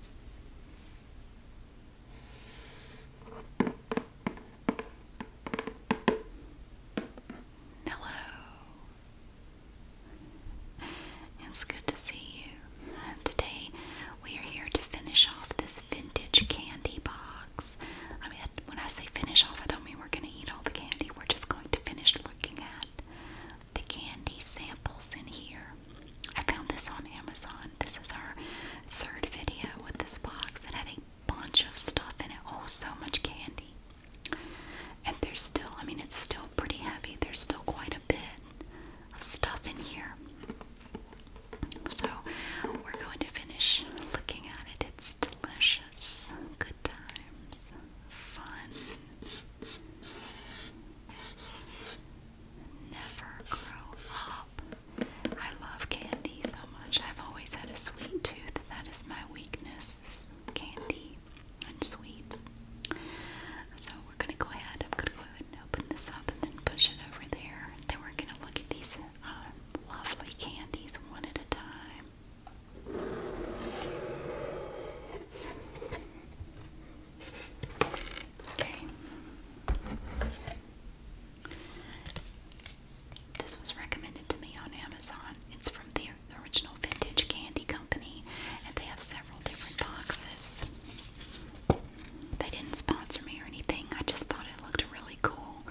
Hello. It's good to see you. Today we are here to finish off this vintage candy box. I mean, when I say finish off, I don't mean we're going to eat all the candy. We're just going to finish looking at the candy samples in here. I found this on Amazon. This is our third video with this box. It had a bunch of stuff in it. Oh, so much candy. And there's still, I mean, it's still pretty heavy. There's still quite a bit of stuff in here. So we're going to finish looking at it. It's delicious. Good times. Fun never grow up. I love candy so much. I've always had a sweet tooth. That is my weakness, candy and sweets. So we're going to go ahead. I'm going to go ahead and open this up and then push it over there. Then we're going to look at these um, lovely candies one at a time. Okay. This was recommended to me on Amazon. It's from the original Vintage Candy Company, and they have several different boxes. They didn't sponsor me or anything, I just thought it looked really cool.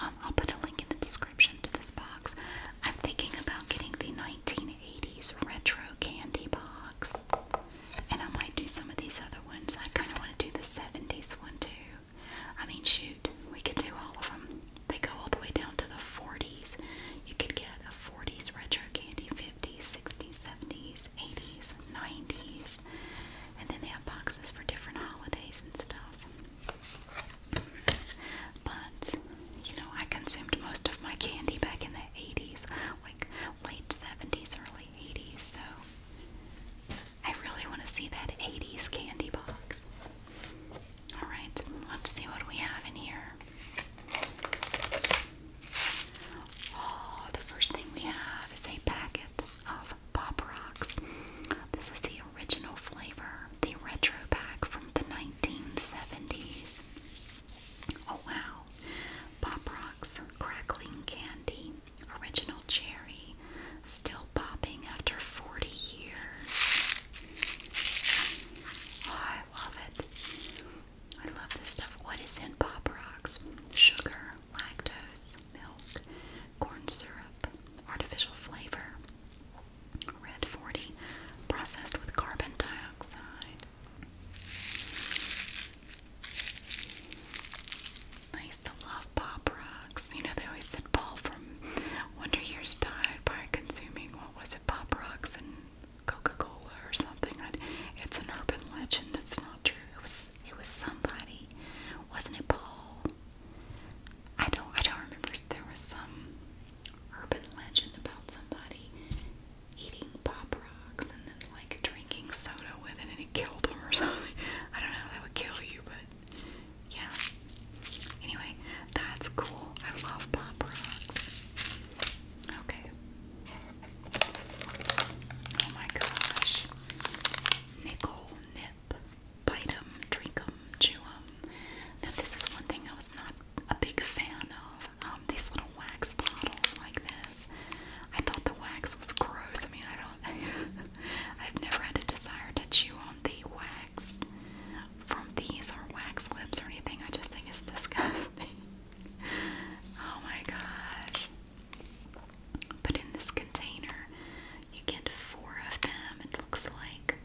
Um, I'll put a link in the description to this box. I'm thinking about getting the 1980s retro candy box. And I might do some of these other ones. I kind of want to do the 70s one too. I mean, shoot, we could do all of them. They go all the way down to the 40s. You could get a 40s retro candy, 50s, 60s, 70s, 80s, 90s. And then they have boxes for different holidays and stuff. But, you know, I consumed most of my candy back in the 80s, like late 70s, early 80s, so I really want to see that 80s candy box. Alright, let's see what we have in here. Oh, the first thing we have is a packet of Pop Rocks. This is the original flavor, the retro pack from the 1970s. Oh wow, Pop Rocks Crackling Candy Original Cherry Still popping after 40 years. Oh, I love it. I love this stuff. What is in Pop Rocks? Sugar, lactose, milk, corn syrup, artificial flavor, red 40, processed with carbon dioxide, I used to love pop rocks. You know, they always said Paul from Wonder Years died by consuming, what was it, pop rocks and Coca-Cola or something. It's an urban legend. It's not true. It was it was somebody. Wasn't it Paul? I don't I don't remember. There was some urban legend about somebody eating pop rocks and then like drinking soda with it and it killed him or something. I don't know, that would kill you, but yeah. Anyway, that's cool. I love pop rocks. Okay. Oh my gosh. Nickel, nip, bite 'em, drink 'em, chew 'em. Now, this is one thing I was not a big fan of. Um, these little wax bottles like this. I thought the wax was gross. I mean, I don't. I've never had a desire to chew on the wax from these or wax lips or anything. I just think it's disgusting. oh my gosh. But in this container, you get four of them. It looks like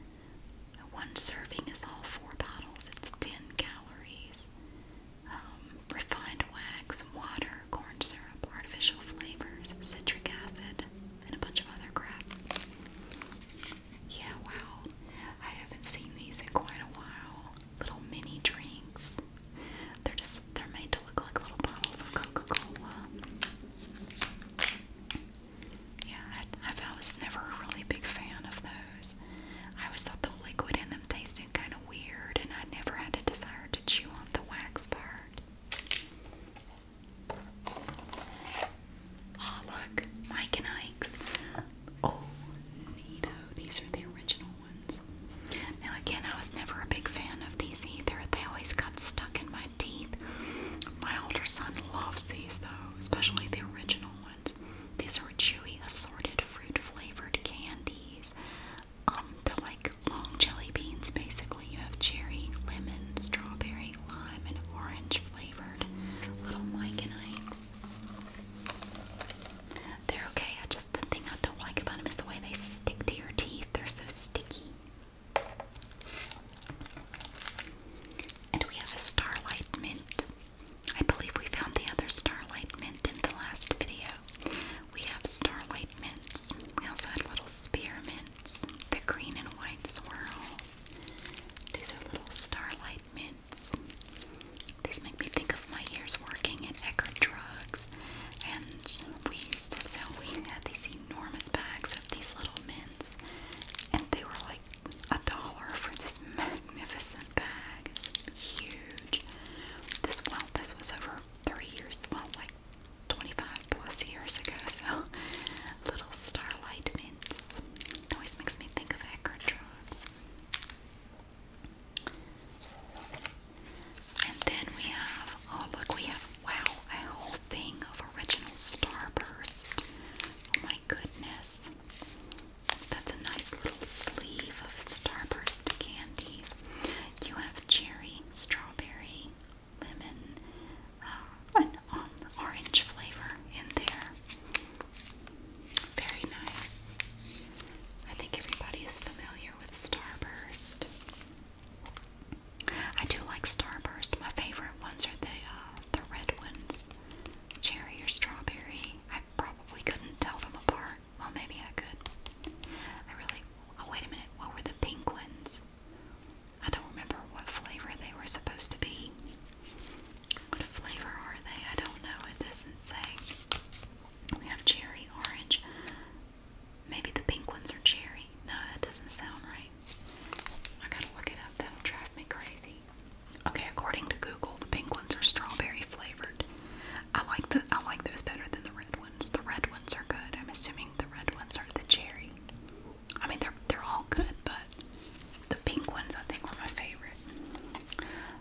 one serving is all four bottles. It's 10 calories um, refined wax, water, corn syrup, artificial flavors, citric acid, and a bunch of other crap. Yeah, wow. I haven't seen these in quite a while. Little mini drinks. They're just, they're made to look like little bottles of Coca-Cola. Yeah, I, I was never a really big fan of those. I always thought the liquid in them tasted kind weird, and I never had a desire to chew on the wax part. look, Mike and Ike's. Oh, neato. These are the original ones. Now, again, I was never a big fan of these either. They always got stuck in my teeth. My older son loves these, though, especially the original ones. These are chewy, assorted, fruit flavored candies. Um, they're like long jelly beans basically. You have cherry, lemon, strawberry, lime, and orange flavored little Mike-and-Ikes. They're okay. I just, the thing I don't like about them is the way they stick to your teeth. They're so sticky. And we have a Starlight Mint. I believe we found the other Starlight Mint in the last video. We have Starlight Mints. We also had little spearmints, the green and white swirls. These are little Starlight Mints. These make me think of my years working at Eckerd Drugs. And we used to sell, we had these enormous bags of these little mints. And they were like a dollar for this magnificent bag. It's huge. This, well, this was over 30 years, well, like 25 plus years ago, so Little Starlight Mints. Always makes me think of Eckerd And then we have, oh look, we have, wow, a whole thing of original Starburst. Oh my goodness. That's a nice little sleeve of Starburst candies. You have cherry, strawberry, lemon, uh, um, orange flavor in there. Very nice. I think everybody is familiar with Starburst. I do like Starburst. My favorite ones are the uh, the red ones, cherry or strawberry. I probably couldn't tell them apart. Well, maybe I could. I really. Oh, wait a minute. What were the pink ones? I don't remember what flavor they were supposed to be. What flavor are they? I don't know. It doesn't say. We have cherry, orange. Maybe the pink ones are cherry. No, that doesn't sound right. I gotta look it up. That'll drive me crazy. Okay, according to Google, the pink ones are strawberry flavored. I like the I like those better than the red the red ones are good. I'm assuming the red ones are the cherry. I mean, they're they're all good, but the pink ones I think were my favorite.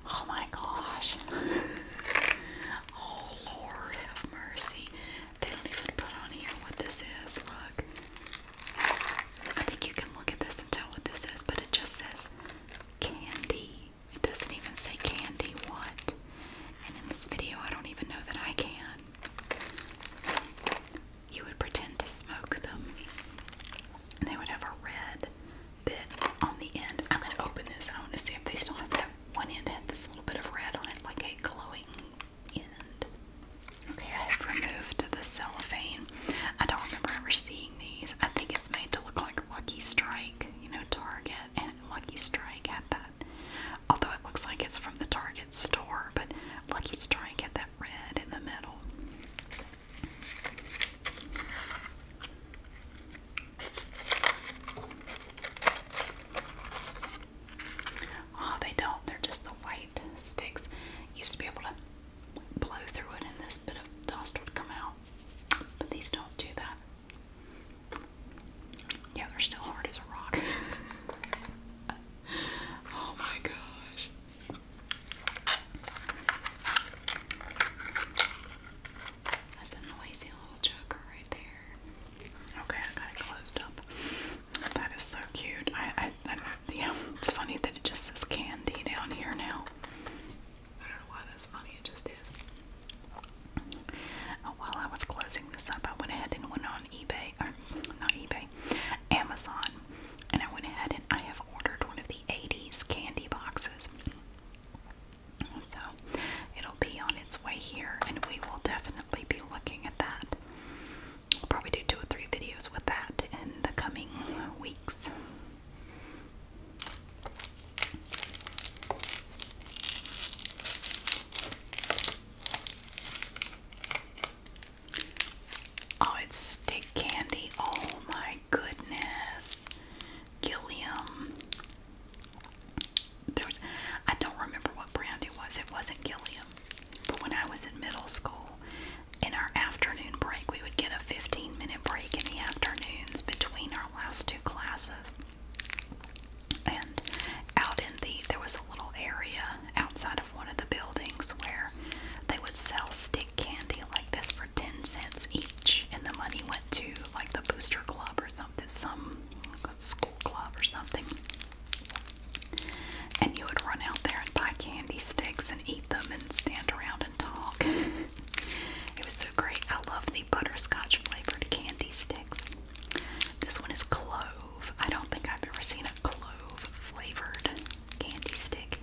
Oh my gosh! oh Lord, have mercy! They don't even put on here what this is. Look, I think you can look at this and tell what this is, but it just says candy. It doesn't even say candy what. And in this video, I don't even know that I can. You would pretend to smoke them. And they would have a red bit on the end. I'm going to open this. I want to see if they still have that one end had this little bit of red on it, like a glowing end. Okay, I have removed the cellophane. I don't remember ever seeing these. I think it's made to look like Lucky Strike, you know, Target and Lucky Strike had that. Although it looks like it's from the Target store, but Lucky Strike had that red in the middle. Oh, they don't. They're just the white sticks. Used to be able to blow through it, and this bit of dust would come out. But these don't do that. Yeah, they're still hard as a rock. oh my gosh. That's a noisy little joker right there. Okay, I got it closed up. That is so cute. I, I yeah, it's funny that it just says candy down here now. I don't know why that's funny, it just is. Oh, while I was closing this up, I went ahead and went on eBay, or not eBay, Amazon, and I went ahead and I have ordered one of the 80s candy boxes. So it'll be on its way here, and we will definitely be looking at that. We'll probably do two or three videos with that in the coming weeks. Oh, it's stick candy. Oh my goodness. Gilliam. There was I don't remember what brand it was. It wasn't Gilliam. But when I was in middle school, in our afternoon break, we would get a 15 minute break in the afternoons between our last two classes. And out in the, there was a little area outside of one of the buildings where they would sell stick candy like this for 10 cents each, and the money went to like the booster club or something, some school club or something. And you would run out there and buy candy sticks and eat them and stand around and talk. it was so great. I love the butterscotch flavored candy sticks. This one is clove. I don't think I've ever seen a clove flavored candy stick,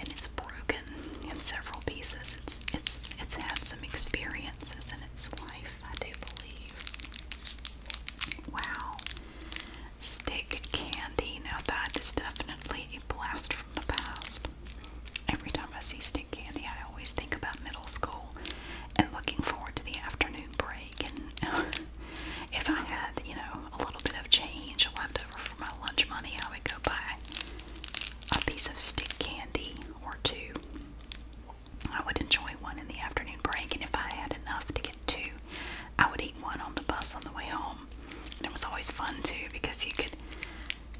and it's broken in several pieces. It's it's it's had some experiences in its life, I do believe. Wow. Stick candy. Now that is definitely a blast from the past. Every time I see plastic candy, I always think about middle school and looking forward to the afternoon break. And if I had, you know, a little bit of change left over for my lunch money, I would go buy a piece of stick candy or two. I would enjoy one in the afternoon break, and if I had enough to get two, I would eat one on the bus on the way home. And it was always fun too because you could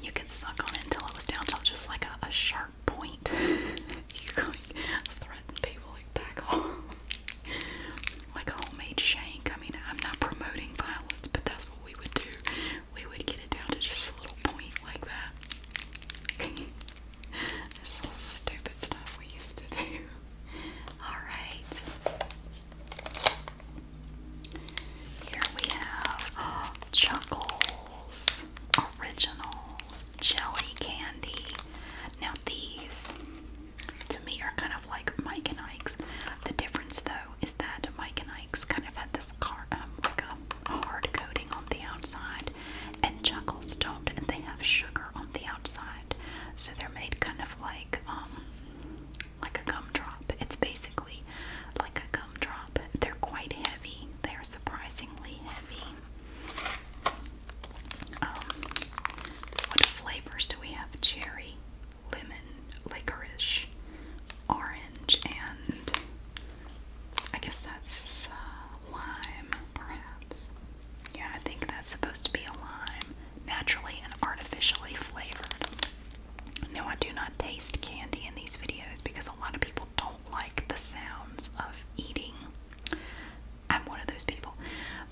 you could suck on it until it was down to just like a, a sharp point you can't threaten people who back like a homemade shank. I mean, I'm not promoting violence, but that's what we would do. We would get it down to just a little point like that. this little stupid stuff we used to do. Alright. Here we have uh, Chuckles Original jelly candy. Now these to me are kind of like Mike and Ike's. The difference though is that Mike and Ike's kind of had this car um, hard coating on the outside and chuckles don't and they have sugar on the outside. So they're made kind of like um like a gumdrop. It's basically like a they're quite heavy. They are surprisingly heavy. Um, what flavors do we have? Cherry, lemon, licorice, orange, and I guess that's uh, lime, perhaps. Yeah, I think that's supposed to be a lime, naturally and artificially flavored. No, I do not taste candy in these videos because a lot of people don't like the sounds of eating. I'm one of those people.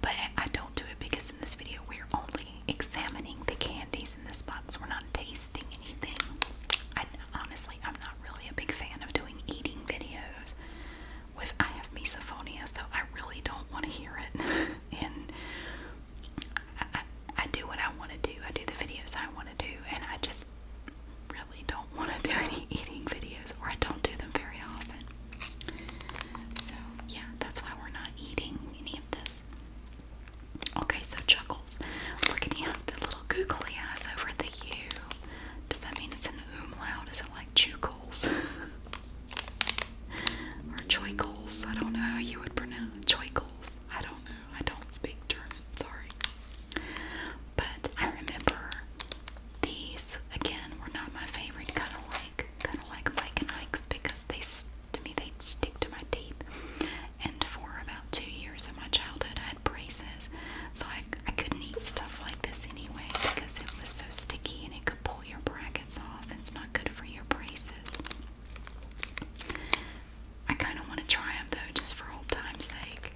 But I don't do it because in this video we're only examining the candies in this box. We're not tasting anything. honestly I'm not really a big fan of doing eating videos with I have misophonia, so I really don't want to hear it. and I, I do what I want to do. I do the videos I want to do, and I just really don't want to do any eating videos, or I don't do them very often. So, yeah, that's why we're not eating any of this. Okay, so Chuckles, Look at him, the little googly eyes over the U. Does that mean it's an umlaut? Is it like chuckles? or choikles? I don't know how you would pronounce choikles. I don't know. I don't speak German. Sorry. But I remember these again were not my favorite, kind of like kind of like Mike because they to me they stick to my teeth. And for about two years of my childhood, I had braces, so I I couldn't eat stuff like this anyway because it was so sticky and it could pull your brackets off. It's not good for your braces. I kind of want to try them though, just for old time's sake.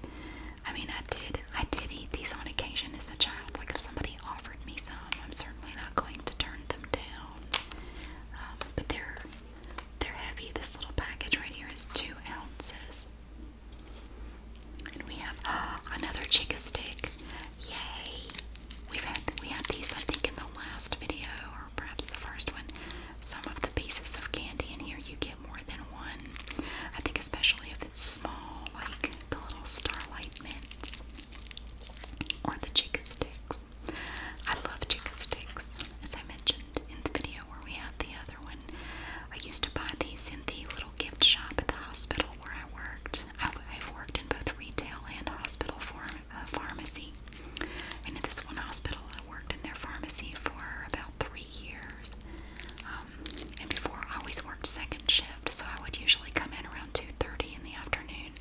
I mean, I did, I did eat these on occasion as a child. Like if somebody offered me some, I'm certainly not going to turn them down. Um, but they're they're heavy. This little package right here is two ounces. And we have another chicken stick. Yay! We've had we had these I think in the last video or perhaps the first one. Some of the pieces of candy in here you get more than one. I think especially if it's small, like the little starlight mints or the chica sticks. I love chica sticks, as I mentioned in the video where we had the other one. I used to buy these in the little gift shop at the hospital where I worked. I've, I've worked in both retail and hospital pharm uh, pharmacy. And at this one hospital, I worked in their pharmacy for about three years. Um, um, and before I always worked second shift, so I would usually come in around 2:30 in the afternoon,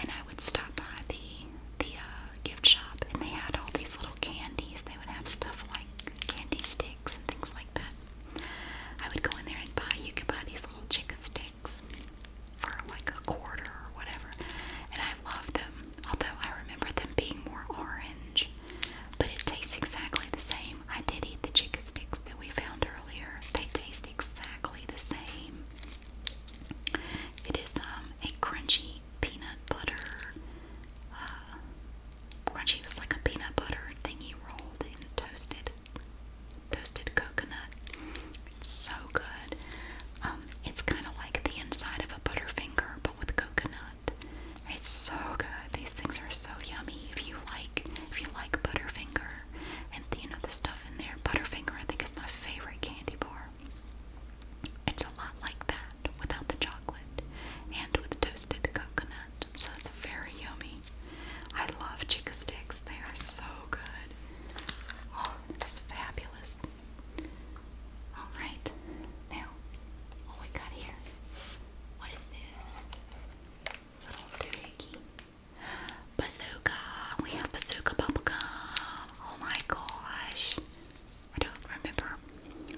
and I would stop by the the uh, gift shop, and they had all these little candies. They would have stuff like candy sticks and things like that. I would go in there and buy. You could buy these little chicken sticks for like a quarter or whatever, and I loved them. Although I remember them being more orange but it tastes exactly the same. I did eat the chicken sticks that we found earlier. They taste exactly the same. It is um, a crunchy peanut butter. Uh, crunchy was like a peanut butter thingy rolled in toasted, toasted coconut. so good. Um, it's kind of like the inside of a butterfinger, but with coconut. It's so good. These things are so yummy. If you like, if you like Butterfinger and you know the stuff in there, Butterfinger I think is my favorite candy bar. It's a lot like that without the chocolate and with toasted coconut, so it's very yummy. I love chica sticks. They are so good. Oh, it's fabulous. All right, now what we got here? What is this? little doohickey. Bazooka! We have bazooka bubblegum. Oh my gosh. I don't remember.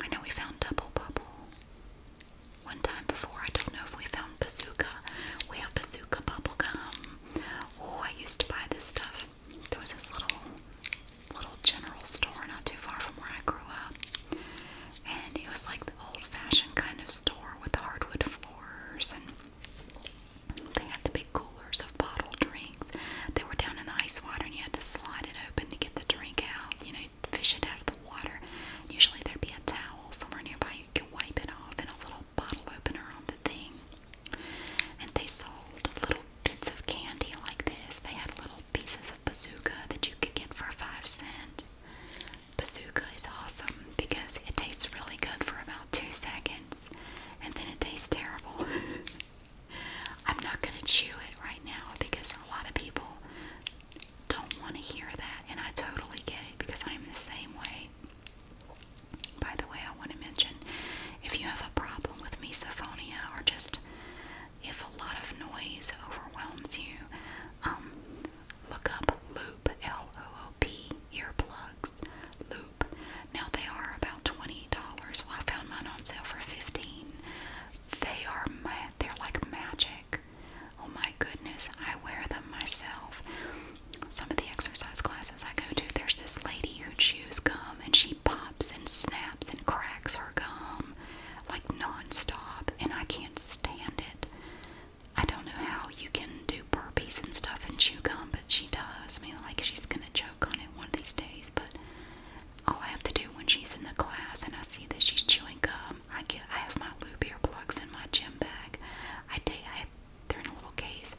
I know we found double bubble. One time before, I don't know if we found bazooka. We have bazooka bubblegum. Oh, I used to buy this stuff. There was this little little general store not too far from where I grew up and it was like the old-fashioned kind of store with hardwood floors and they had the big coolers of bottled drinks they were down in the ice water and you had to slide it open to get the drink out you know fish it out of the water usually there'd be a towel somewhere nearby you could wipe it off and a little bottle opener on the thing and they sold little bits of candy like this they had little pieces of bazooka that you can get for five cents. Bazooka is awesome because it tastes really good for about two seconds and then it tastes terrible. I'm not going to chew it right now because a lot of people don't want to hear that, and I totally get it because I'm the same way. By the way, I want to mention if you have a problem with misophonia or just if a lot of noise overwhelms you, um, look up Loop, L O O P, earplugs. Loop. Now they are about $20. I found mine on sale for 15 They are, they're like magic. Oh my goodness, I wear them myself. Some of the exercise classes I go to, there's this lady who chews gum and she pops and snaps and cracks her gum like nonstop, and I can't stand it. I don't know how you can do burpees and stuff and chew gum, but she does. I mean, like she's gonna choke on it one of these days. But all I have to do when she's in the class and I see that she's chewing gum, I get I have my lube ear plugs in my gym bag. I take I they're in a little case.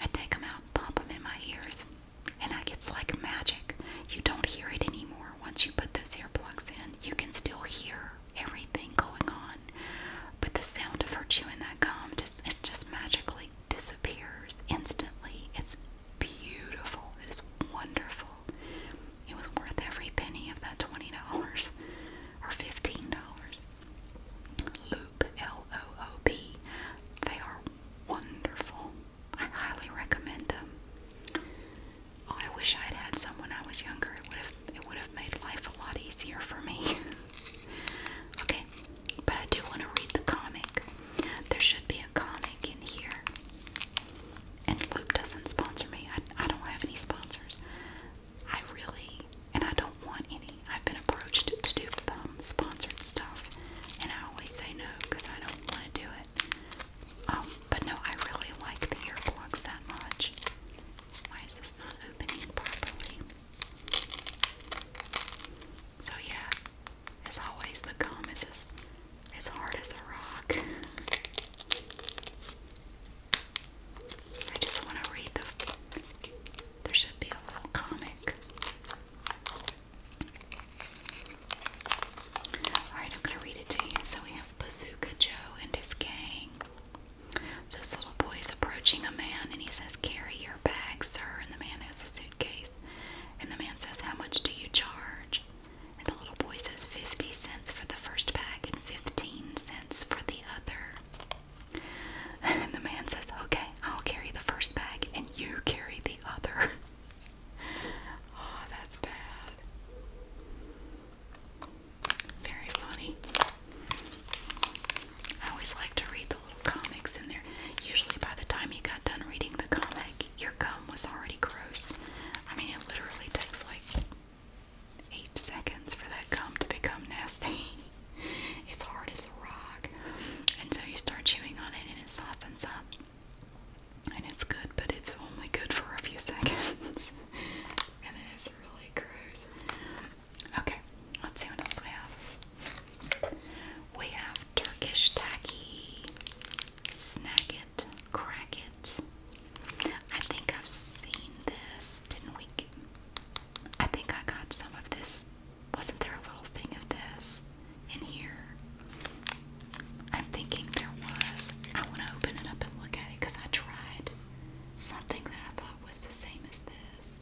I take them out, pop them in my ears, and I gets like magic. You don't hear it anymore. Once you put those earplugs in, you can still hear everything going on, but the sound of her chewing that gum just just magically disappears instantly. It's beautiful. It is wonderful. It was worth every penny of that twenty dollars or fifteen dollars. Loop L O O P. They are wonderful. I highly recommend them. I wish I had had some when I was younger. It would have it would have made life a lot easier for me. okay, but I do want to read the comic. There should be a comic in here. And Loop doesn't sponsor me. I, I don't have any sponsors. I really, and I don't want any. I've been approached to, do um, sponsored stuff, and I always say no because I don't want to do it. Um, but no, I really like the earplugs that much. Why is this not opening properly? So yeah, it's always, the gum It's as, as hard as a rock. I just want to read the. There should be a little comic. Alright, I'm gonna read it to you. So we have Bazooka Joe and his gang. this little boy is approaching a man and he says, Carry your bag, sir. And the man has a suitcase. And the man says, How much do you charge? And the little boy says, 50 cents for the first bag and 15 cents for the other. And the man says, Okay, I'll carry the first bag and you carry the other. oh, that's bad. Very funny. I always like to read the little comics in there. Usually, by the time you got done reading the comic, your gum was already gross. I mean, it literally takes like eight seconds for that gum to become nasty. it's hard as a rock. And so you start chewing on it and it softens up and it's good, but it's only good for a few seconds, and then it's really gross. Okay, let's see what else we have. We have Turkish tacky, snack it, crack it. I think I've seen this, didn't we? I think I got some of this. Wasn't there a little thing of this in here? I'm thinking there was. I want to open it up and look at it because I tried something that I thought was the same as this.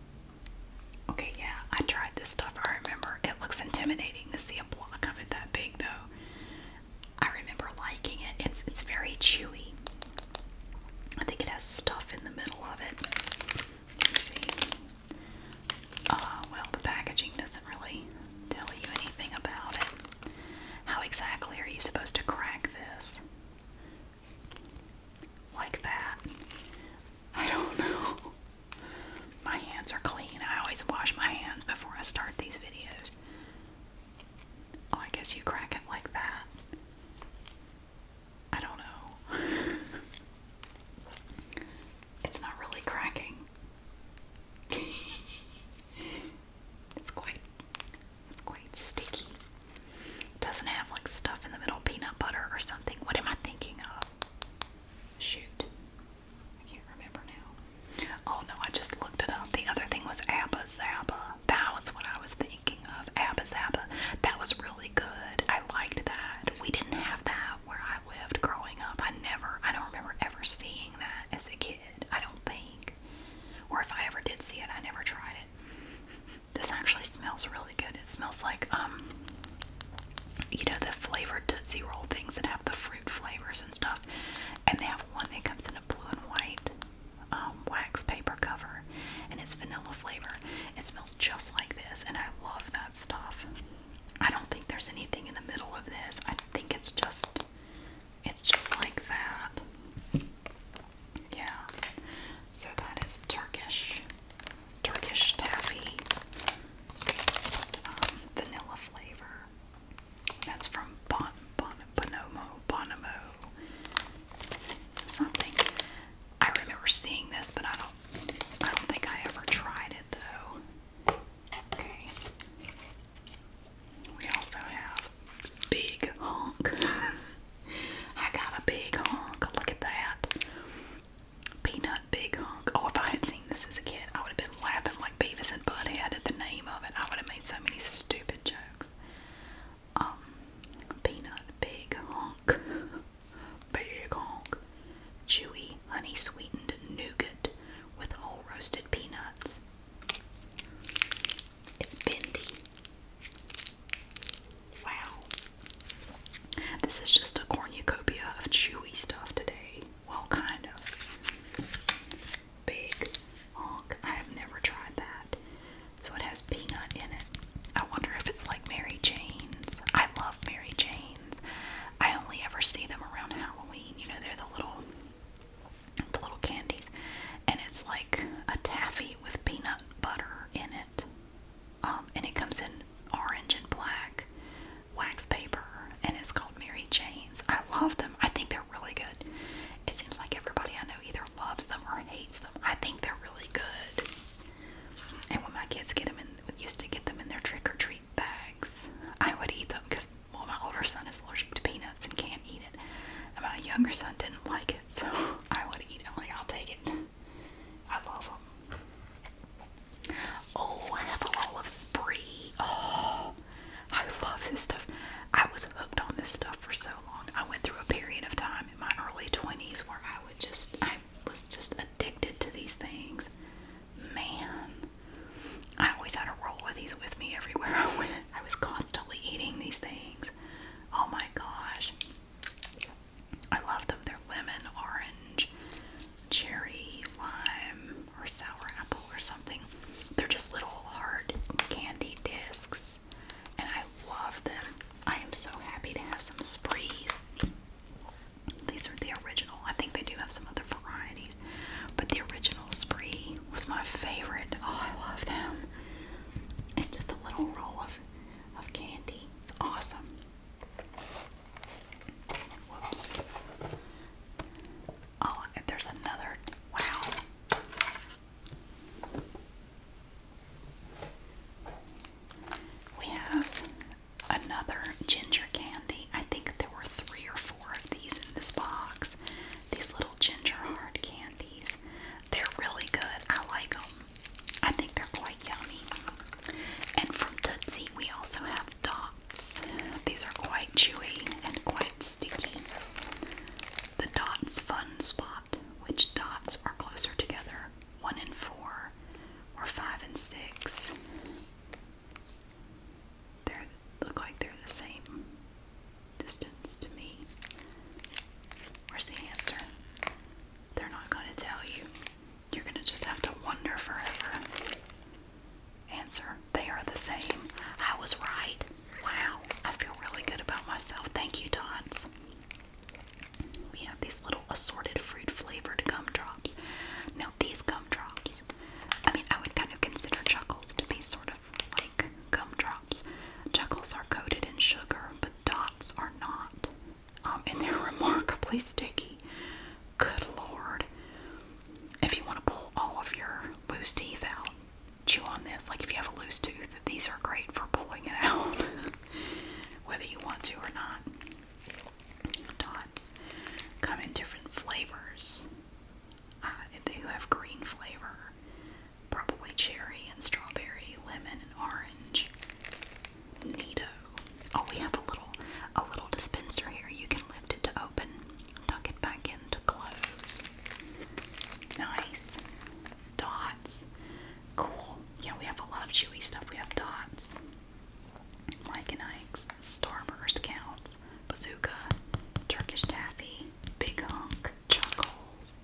Okay, yeah, I tried this stuff. I remember it looks intimidating to see a block of it that big, though. I remember liking it. It's it's very chewy. I think it has stuff in the middle of it. Let's see. Uh, well, the packaging doesn't really tell you anything about it. How exactly are you supposed to crack this? Like that? I don't know. My hands are clean. I always wash my hands before I start these videos. Oh, I guess you crack it like that. I don't know. it's not really cracking. It's quite it's quite sticky. doesn't have like stuff in the middle, peanut butter or something. What am I thinking of? Shoot. I can't remember now. Oh no, I just looked it up. The other thing was Abba Zaba. That was what I was thinking of. Abba Zaba. That was really good. I liked that. We didn't have that where I lived growing up. I never, I don't remember ever seeing that as a kid it, I don't think. Or if I ever did see it, I never tried it. This actually smells really good. It smells like, um, you know, the flavored Tootsie Roll things that have the fruit flavors and stuff. And they have one that comes in a blue and white um, wax paper cover, and it's vanilla flavor. It smells just like this, and I love that stuff. I don't think there's anything in the middle of this. I think it's just it's just like that. Yeah. So that is Turkish. Turkish taffy. Um, vanilla flavor. That's from Bon Bon Bonomo Bonomo. Something. I remember seeing this, but I don't I don't think I ever tried it though. Okay. We also have Big Honk. I got a big honk. Look at that. Peanut Big Honk. Oh, if I had seen this as a kid, I would have been laughing like Beavis and Butthead at the name of it. I would have made so many stupid jokes. Um, Peanut Big Honk. Big Honk. Chewy, honey sweetened nougat with whole roasted peanuts. It's bendy. Wow. This is just a cornucopia of chewy stuff today. Well, kind of. Big honk. I have never tried that. So it has peanut in it. I wonder if it's like Mary Jane's. I love Mary Jane's. I only ever see them around Halloween. You know, they're the little the little candies, and it's like a taffy with peanut butter in it. Um, and it comes in orange and black wax paper, and it's called Mary Jane's. I love them. I think they're really good. It seems like everybody I know either loves them or hates them. I think they're really good. And when my kids get them in, used to get them in their trick or treat bags, I would eat them because well, my older son is allergic to peanuts and can't eat it, and my younger son didn't like it, so I would eat it. only. I'll take it. I love them. Oh, I have a roll of Spree. Oh, I love this stuff. I was hooked on this stuff for so long. I went through a period of time in my early 20s where I would just, I was just addicted to these things. Man, I always had a roll of these with me everywhere I went. I was constantly eating these things. Oh my gosh. I love them. They're lemon, orange, cherry, lime, or sour apple or something. They're just little hard candy discs. And I love them. I am so happy to have some Spree. These are the original. I think they do have some other varieties. But the original spree was my favorite. Oh, I love them. It's just a little roll of of candy. It's awesome. Whoops. Oh, if there's another wow. We have another ginger candy. I think there were three or four of these in this box. These little ginger hard candies. They're really good. I like them. I think they're quite yummy. And from Tootsie, we also have dots. These are quite chewy and quite sticky. The dots fun spot, which dots are closer together, one and four, or five and six they look like they're the same distance to me. Where's the answer? They're not going to tell you. You're going to just have to wonder forever. Answer, they are the same. I was right. Wow, I feel really good about myself. Thank you, Dots. We have these little assorted fruit flavored gumdrops. Now, these gumdrops, I mean, I would kind of consider chuckles to be sort of like gumdrops. Chuckles are coated in sugar, but dots are not. Um, and they're remarkably sticky. Good lord. If you want to pull all of your loose teeth out, chew on this. Like if you have a loose tooth, these are great for pulling it out, whether you want to or not. Dots come in different flavors. Uh, they have green flavor, Probably cherry and strawberry, lemon and orange. Neato. Oh, we have a little a little dispenser here. You can lift it to open, tuck it back in to close. Nice. Dots. Cool. Yeah, we have a lot of chewy stuff. We have dots. Mike and Ike's, Starburst counts, Bazooka, Turkish Taffy, big hunk chuck holes.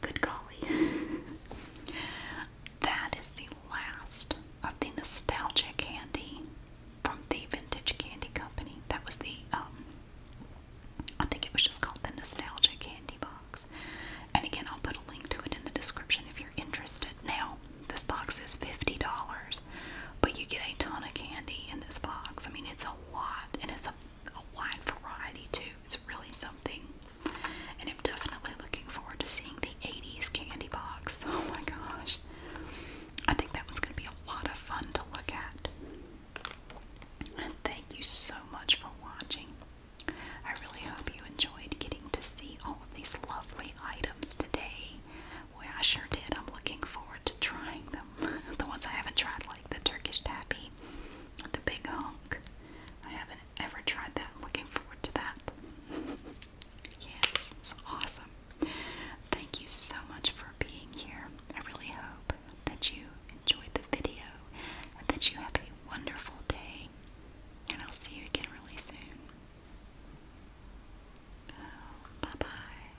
Good golly. that is the last of the nostalgia candy from the Vintage Candy Company. That was the, um, I think it was just called the Nostalgia Candy Box. And again, I'll put a link to it in the description if you're interested. Now, this box is $50, but you get a ton of candy in this box. I mean, it's a lot, and it's a a wide variety too. It's really something. And I'm definitely looking forward to seeing the 80s candy box. Oh my gosh. I think that one's going to be a lot of fun to look at. And thank you so much for watching. I really hope you enjoyed getting to see all of these lovely items today. Boy, I sure did. I'm looking forward to trying them. the ones I haven't tried the Turkish taffy, the big honk. I haven't ever tried that. Looking forward to that. yes, it's awesome. Thank you so much for being here. I really hope that you enjoyed the video and that you have a wonderful day. And I'll see you again really soon. Oh, bye bye.